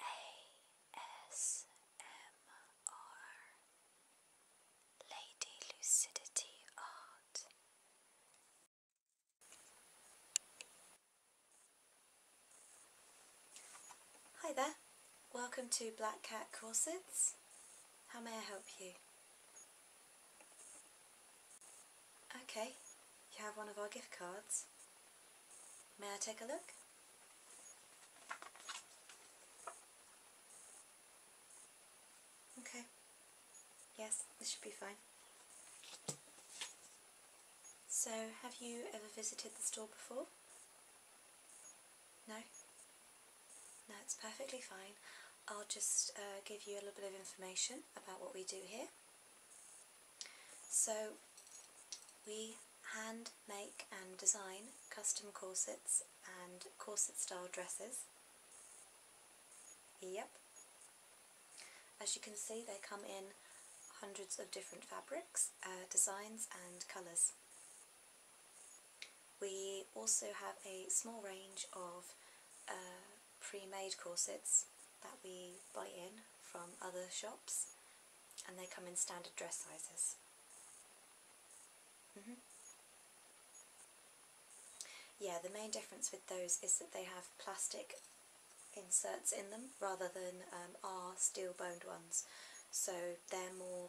ASMR Lady Lucidity Art. Hi there, welcome to Black Cat Corsets. How may I help you? Okay, you have one of our gift cards. May I take a look? Okay. Yes, this should be fine. So, have you ever visited the store before? No? No, it's perfectly fine. I'll just uh, give you a little bit of information about what we do here. So we hand make and design custom corsets and corset style dresses. Yep. As you can see they come in hundreds of different fabrics, uh, designs and colours. We also have a small range of uh, pre-made corsets that we buy in from other shops and they come in standard dress sizes. Mm-hmm. Yeah, the main difference with those is that they have plastic inserts in them rather than um, our steel boned ones, so they're more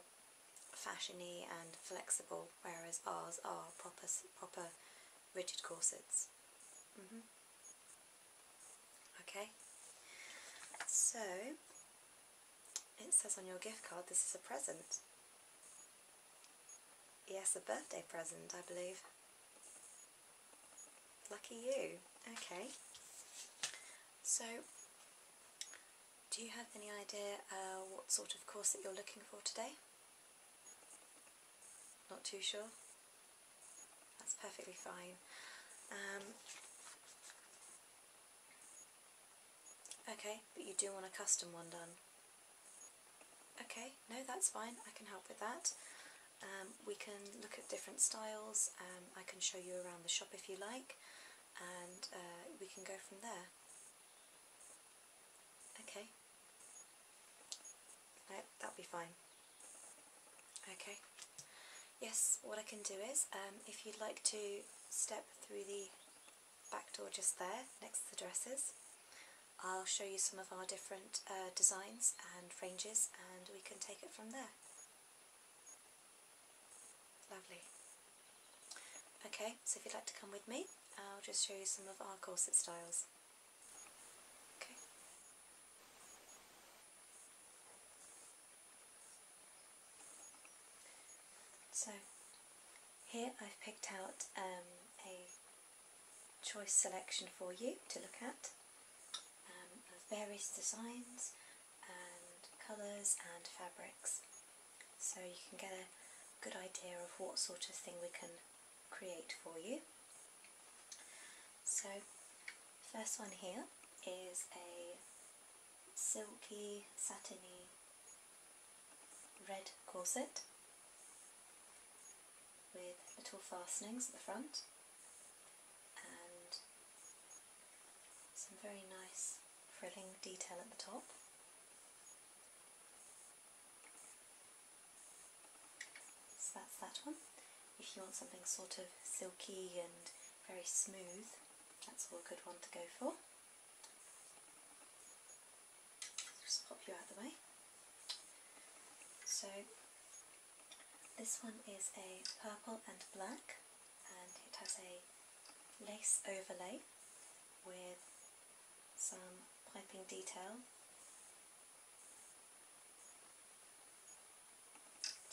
fashiony and flexible, whereas ours are proper proper rigid corsets. Mm-hmm. Okay, so it says on your gift card this is a present. Yes, a birthday present, I believe. Lucky you. Okay. So, do you have any idea uh, what sort of course that you're looking for today? Not too sure? That's perfectly fine. Um, okay, but you do want a custom one done. Okay, no, that's fine. I can help with that. Um, we can look at different styles. Um, I can show you around the shop if you like, and uh, we can go from there. Okay. No, that'll be fine. Okay. Yes, what I can do is, um, if you'd like to step through the back door just there, next to the dresses, I'll show you some of our different uh, designs and ranges and we can take it from there. Lovely. Okay, so if you'd like to come with me, I'll just show you some of our corset styles. Okay. So here I've picked out um, a choice selection for you to look at um, various designs and colours and fabrics so you can get a good idea of what sort of thing we can create for you. So first one here is a silky satiny red corset with little fastenings at the front and some very nice frilling detail at the top. So that's that one. If you want something sort of silky and very smooth. That's a good one to go for. Just pop you out the way. So this one is a purple and black and it has a lace overlay with some piping detail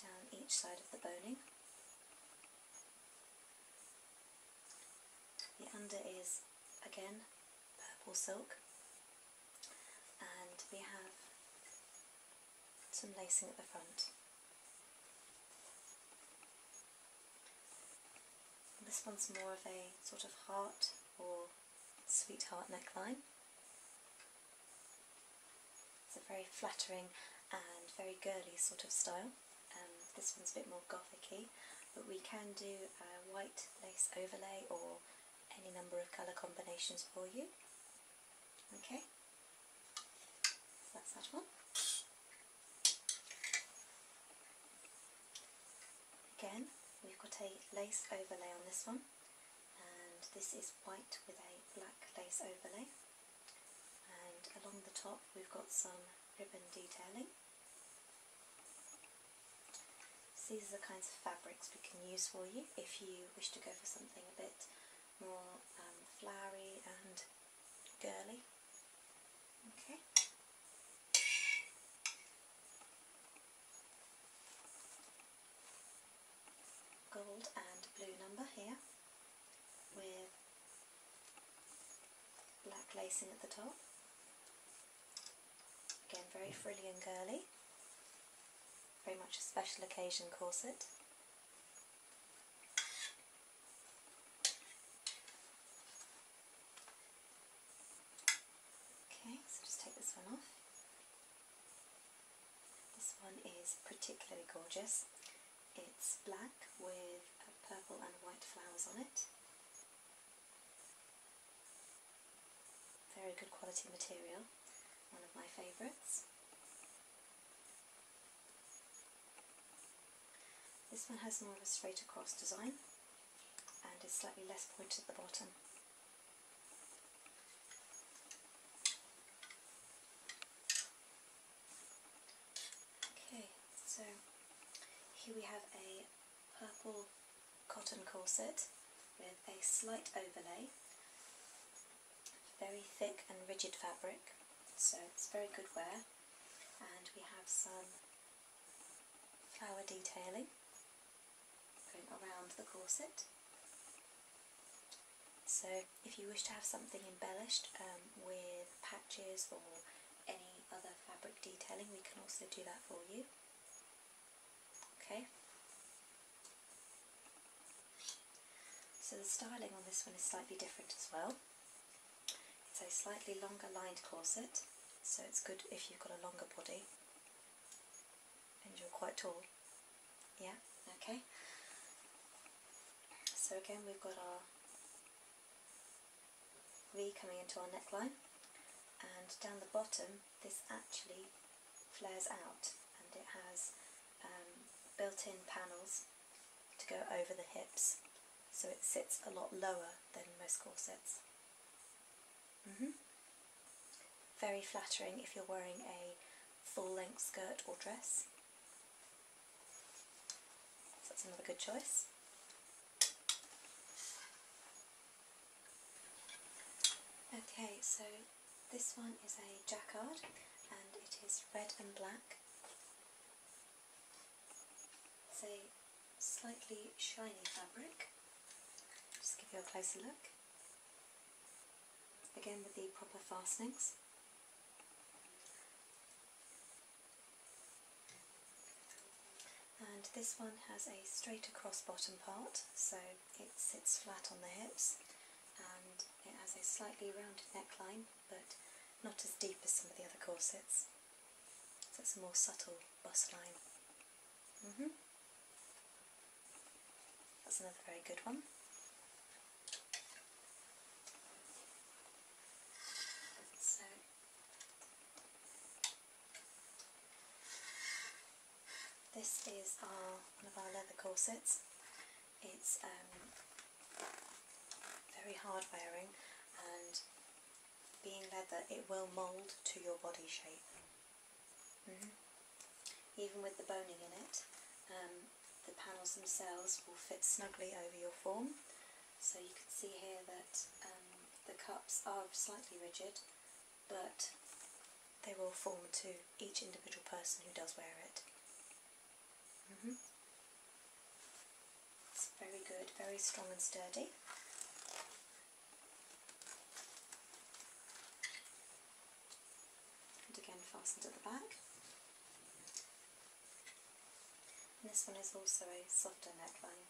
down each side of the boning. The under is again purple silk and we have some lacing at the front. This one's more of a sort of heart or sweetheart neckline. It's a very flattering and very girly sort of style. Um, this one's a bit more gothicy, but we can do a white lace overlay or any number of colour combinations for you. Okay, that's that one. Again, we've got a lace overlay on this one, and this is white with a black lace overlay and along the top we've got some ribbon detailing. these are the kinds of fabrics we can use for you if you wish to go for something a bit more um, flowery and girly. Okay gold and blue number here with black lacing at the top. Again, very frilly and girly. Very much a special occasion corset. Okay, so just take this one off. This one is particularly gorgeous. It's black with purple and white flowers on it. Very good quality material, one of my favourites. This one has more of a straight across design and is slightly less pointed at the bottom. Okay, so here we have a purple cotton corset with a slight overlay, very thick and rigid fabric, so it's very good wear. And we have some flower detailing going around the corset. So if you wish to have something embellished um, with patches or any other fabric detailing, we can also do that for you. Okay. So the styling on this one is slightly different as well. It's a slightly longer lined corset, so it's good if you've got a longer body and you're quite tall. Yeah, okay. So again we've got our V coming into our neckline and down the bottom this actually flares out and it has um, built-in panels to go over the hips so it sits a lot lower than most corsets. -hmm. Very flattering if you're wearing a full-length skirt or dress that's another good choice. Okay, so this one is a jacquard and it is red and black. It's a slightly shiny fabric. Just give you a closer look. Again with the proper fastenings. And this one has a straight across bottom part, so it sits flat on the hips and it has a slightly rounded neckline, but not as deep as some of the other corsets. So it's a more subtle bust line. Mm-hmm. That's another very good one. So this is our one of our leather corsets. It's um, very hard wearing and being leather it will mould to your body shape. Mm-hmm. Even with the boning in it, um, the panels themselves will fit snugly over your form. So you can see here that um, the cups are slightly rigid, but they will form to each individual person who does wear it. Mm-hmm. It's very good, very strong and sturdy. And again fastened at the back this one is also a softer neckline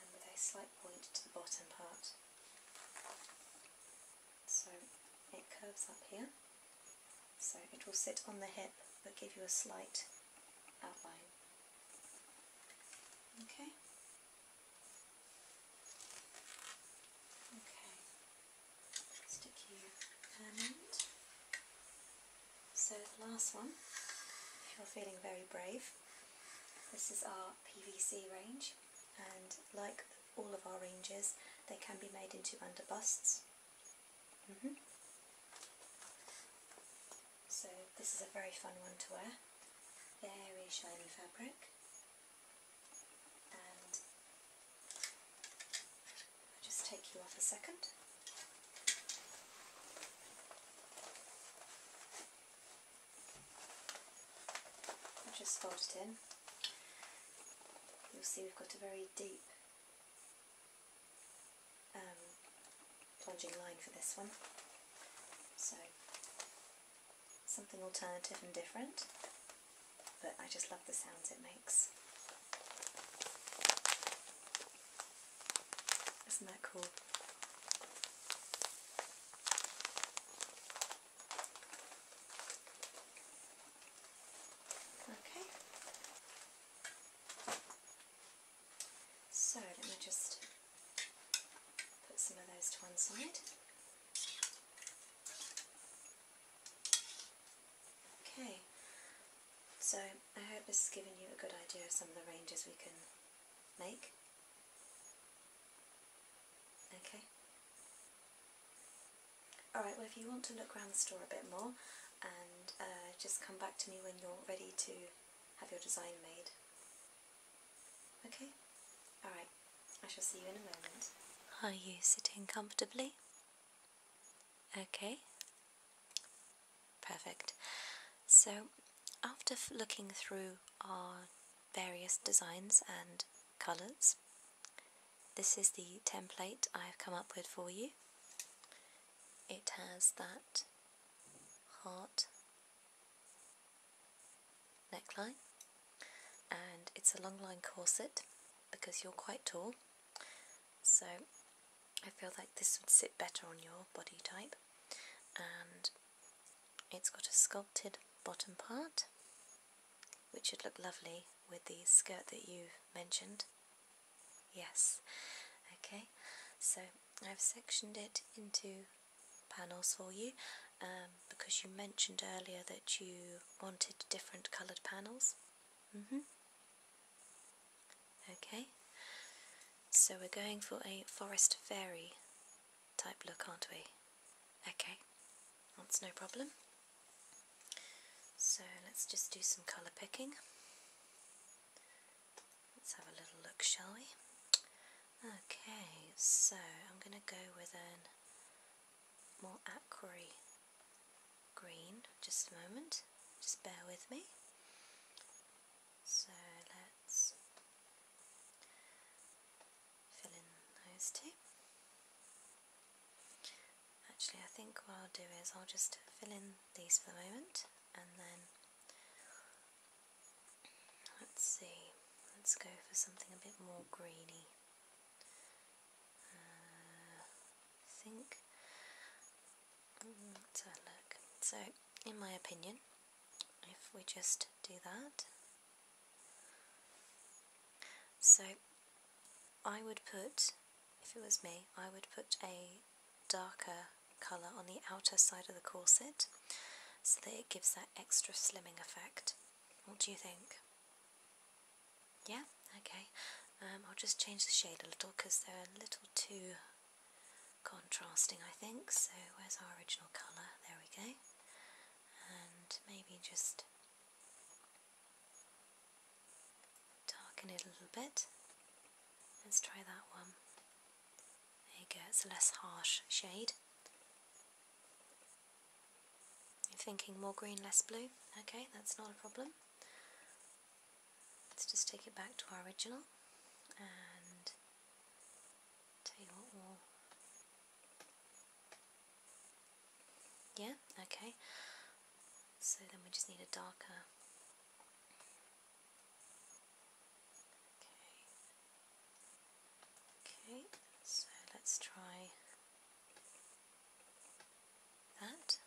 and with a slight point to the bottom part. So it curves up here, so it will sit on the hip but give you a slight outline. Okay. Okay stick permanent. So the last one, if you're feeling very brave, this is our PVC range and like all of our ranges they can be made into under busts. Mm-hmm. So this is a very fun one to wear. Very shiny fabric and I'll just take you off a second. I'll just fold it in. You'll see we've got a very deep um, plunging line for this one. So something alternative and different but I just love the sounds it makes. Isn't that cool? Okay. So let me just put some of those to one side. Okay, so I hope this has given you a good idea of some of the ranges we can make. Okay. Alright, well if you want to look around the store a bit more and uh, just come back to me when you're ready to have your design made. Okay? Alright, I shall see you in a moment. Are you sitting comfortably? Okay, perfect. So, after looking through our various designs and colours, this is the template I've come up with for you. It has that heart neckline and it's a long line corset because you're quite tall so I feel like this would sit better on your body type, and it's got a sculpted bottom part, which would look lovely with the skirt that you've mentioned. Yes, okay, so I've sectioned it into panels for you um, because you mentioned earlier that you wanted different coloured panels hmm Okay, so we're going for a forest fairy type look, aren't we? Okay, that's no problem. So let's just do some colour picking. Let's have a little look, shall we? Okay, so I'm going to go with a more aquery green, just a moment, just bear with me. So let's fill in those two. Actually I think what I'll do is I'll just fill in these for the moment and then let's see, let's go for something a bit more greeny. I think. Mm, so, in my opinion, if we just do that, so I would put, if it was me, I would put a darker colour on the outer side of the corset so that it gives that extra slimming effect. What do you think? Yeah, okay. Um, I'll just change the shade a little because they're a little too contrasting, I think. So, where's our original colour? There we go. And maybe just darken it a little bit. Let's try that one. There you go, it's a less harsh shade. You're thinking more green, less blue? Okay, that's not a problem let's just take it back to our original and tell you what we'll yeah okay so then we just need a darker okay okay so let's try that?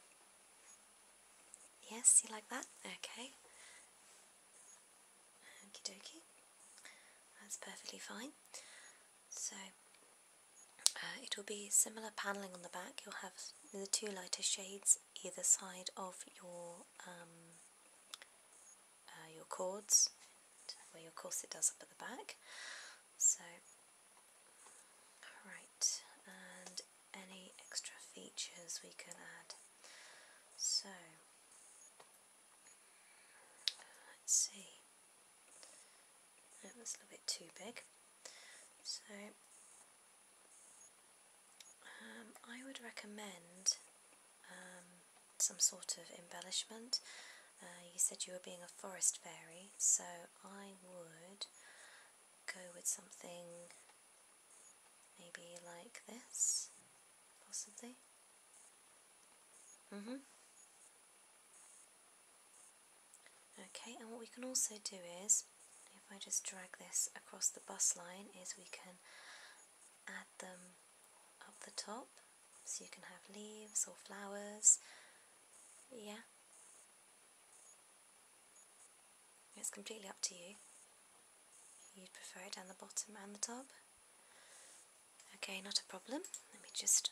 Yes, you like that? Okay. Okie dokie. That's perfectly fine. So, uh, it'll be similar panelling on the back. You'll have the two lighter shades either side of your um, uh, your cords, where your corset does up at the back. So Right, and any extra features we can add. So, let's see. No, that's a little bit too big. So, um, I would recommend um, some sort of embellishment. Uh, you said you were being a forest fairy, so I would go with something maybe like this, possibly. Mm hmm Okay, and what we can also do is, if I just drag this across the bus line, is we can add them up the top, so you can have leaves or flowers, yeah. It's completely up to you. You'd prefer it down the bottom and the top. Okay, not a problem. Let me just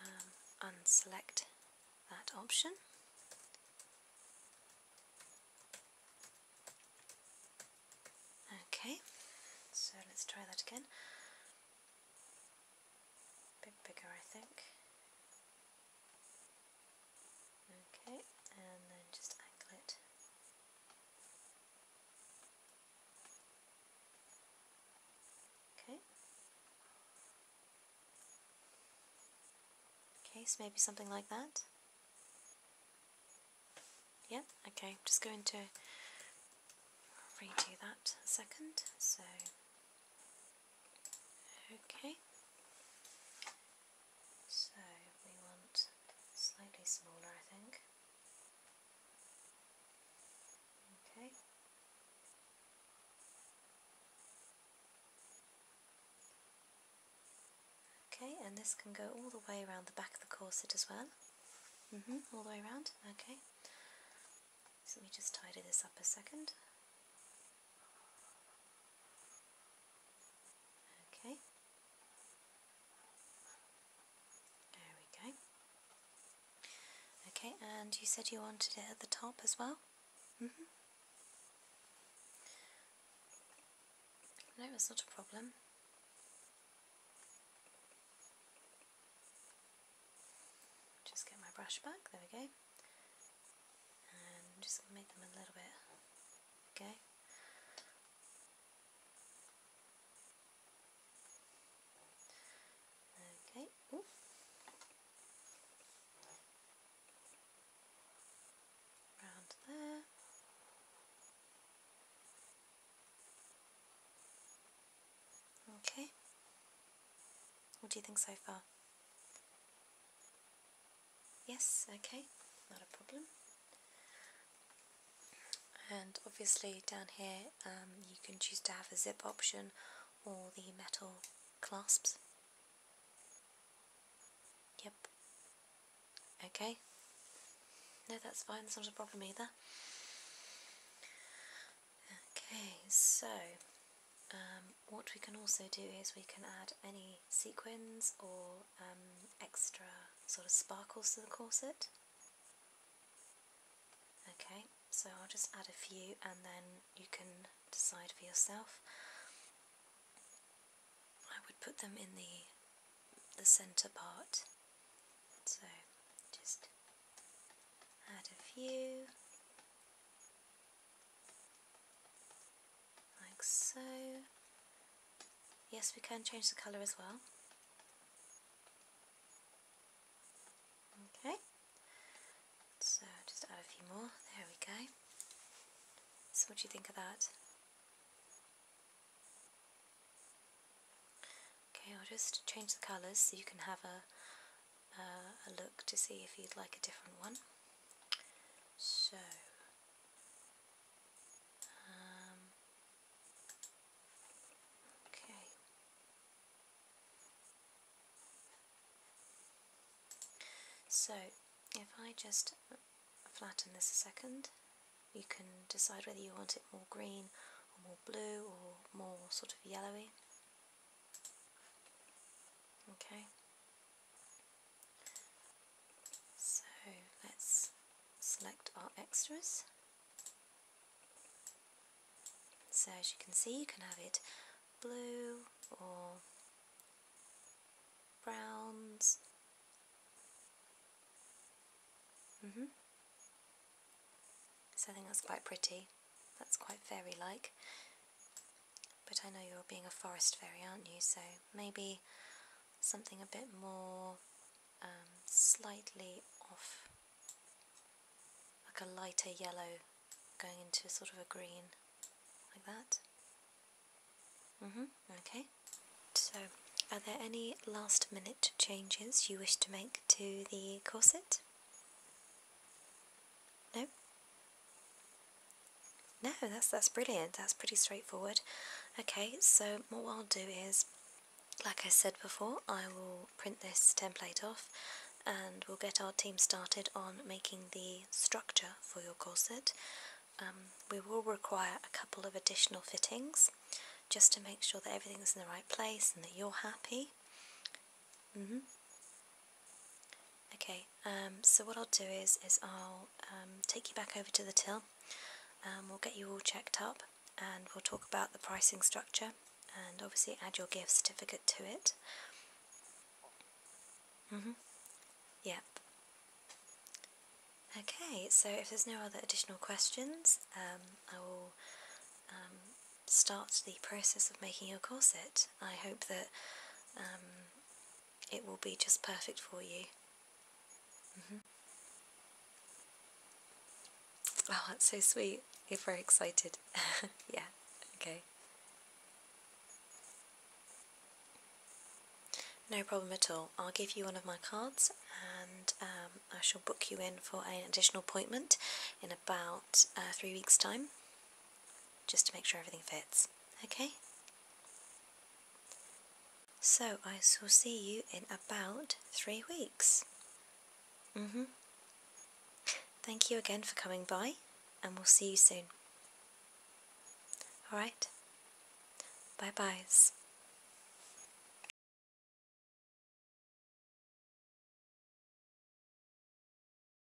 um, unselect that option. Okay, so let's try that again a bit bigger I think. Okay, and then just angle it. Okay. Okay, so maybe something like that. Yeah, okay, just going to redo that a second. So Okay, so we want slightly smaller, I think. Okay. Okay, and this can go all the way around the back of the corset as well. hmm all the way around. Okay let me just tidy this up a second. Okay. There we go. Okay, and you said you wanted it at the top as well? Mm No, that's not a problem. Just get my brush back, there we go and just make them a little bit go. Okay, round there. Okay, what do you think so far? Yes, okay, not a problem. And obviously down here um, you can choose to have a zip option or the metal clasps. Yep. Okay. No, that's fine, that's not a problem either. Okay, so um, what we can also do is we can add any sequins or um, extra sort of sparkles to the corset. Okay, so I'll just add a few and then you can decide for yourself. I would put them in the the centre part. So just add a few like so. Yes, we can change the colour as well. Okay, so just add a few more, there we go. So what do you think of that? Okay, I'll just change the colours so you can have a uh, a look to see if you'd like a different one. So, um, okay. So, if I just flatten this a second, you can decide whether you want it more green or more blue or more sort of yellowy. Okay, so let's select our extras. So as you can see, you can have it blue or browns. -hmm. So I think that's quite pretty that's quite fairy like. But I know you're being a forest fairy, aren't you? So maybe something a bit more um, slightly off, like a lighter yellow going into sort of a green, like that. Mm hmm, okay. So, are there any last minute changes you wish to make to the corset? No? No, that's, that's brilliant. That's pretty straightforward. Okay, so what I'll do is, like I said before, I will print this template off and we'll get our team started on making the structure for your corset. Um, we will require a couple of additional fittings just to make sure that everything's in the right place and that you're happy. Mm-hmm. Okay, um, so what I'll do is, is I'll um, take you back over to the till. Um, we'll get you all checked up and we'll talk about the pricing structure and obviously add your gift certificate to it. Mm-hmm. Yep. Okay, so if there's no other additional questions, um, I will um, start the process of making your corset. I hope that um, it will be just perfect for you. Mm-hmm. Oh, that's so sweet. You're very excited. yeah, okay. No problem at all. I'll give you one of my cards and um, I shall book you in for an additional appointment in about uh, three weeks' time just to make sure everything fits, okay? So I shall see you in about three weeks. Mm hmm Thank you again for coming by, and we'll see you soon. Alright? Bye-byes.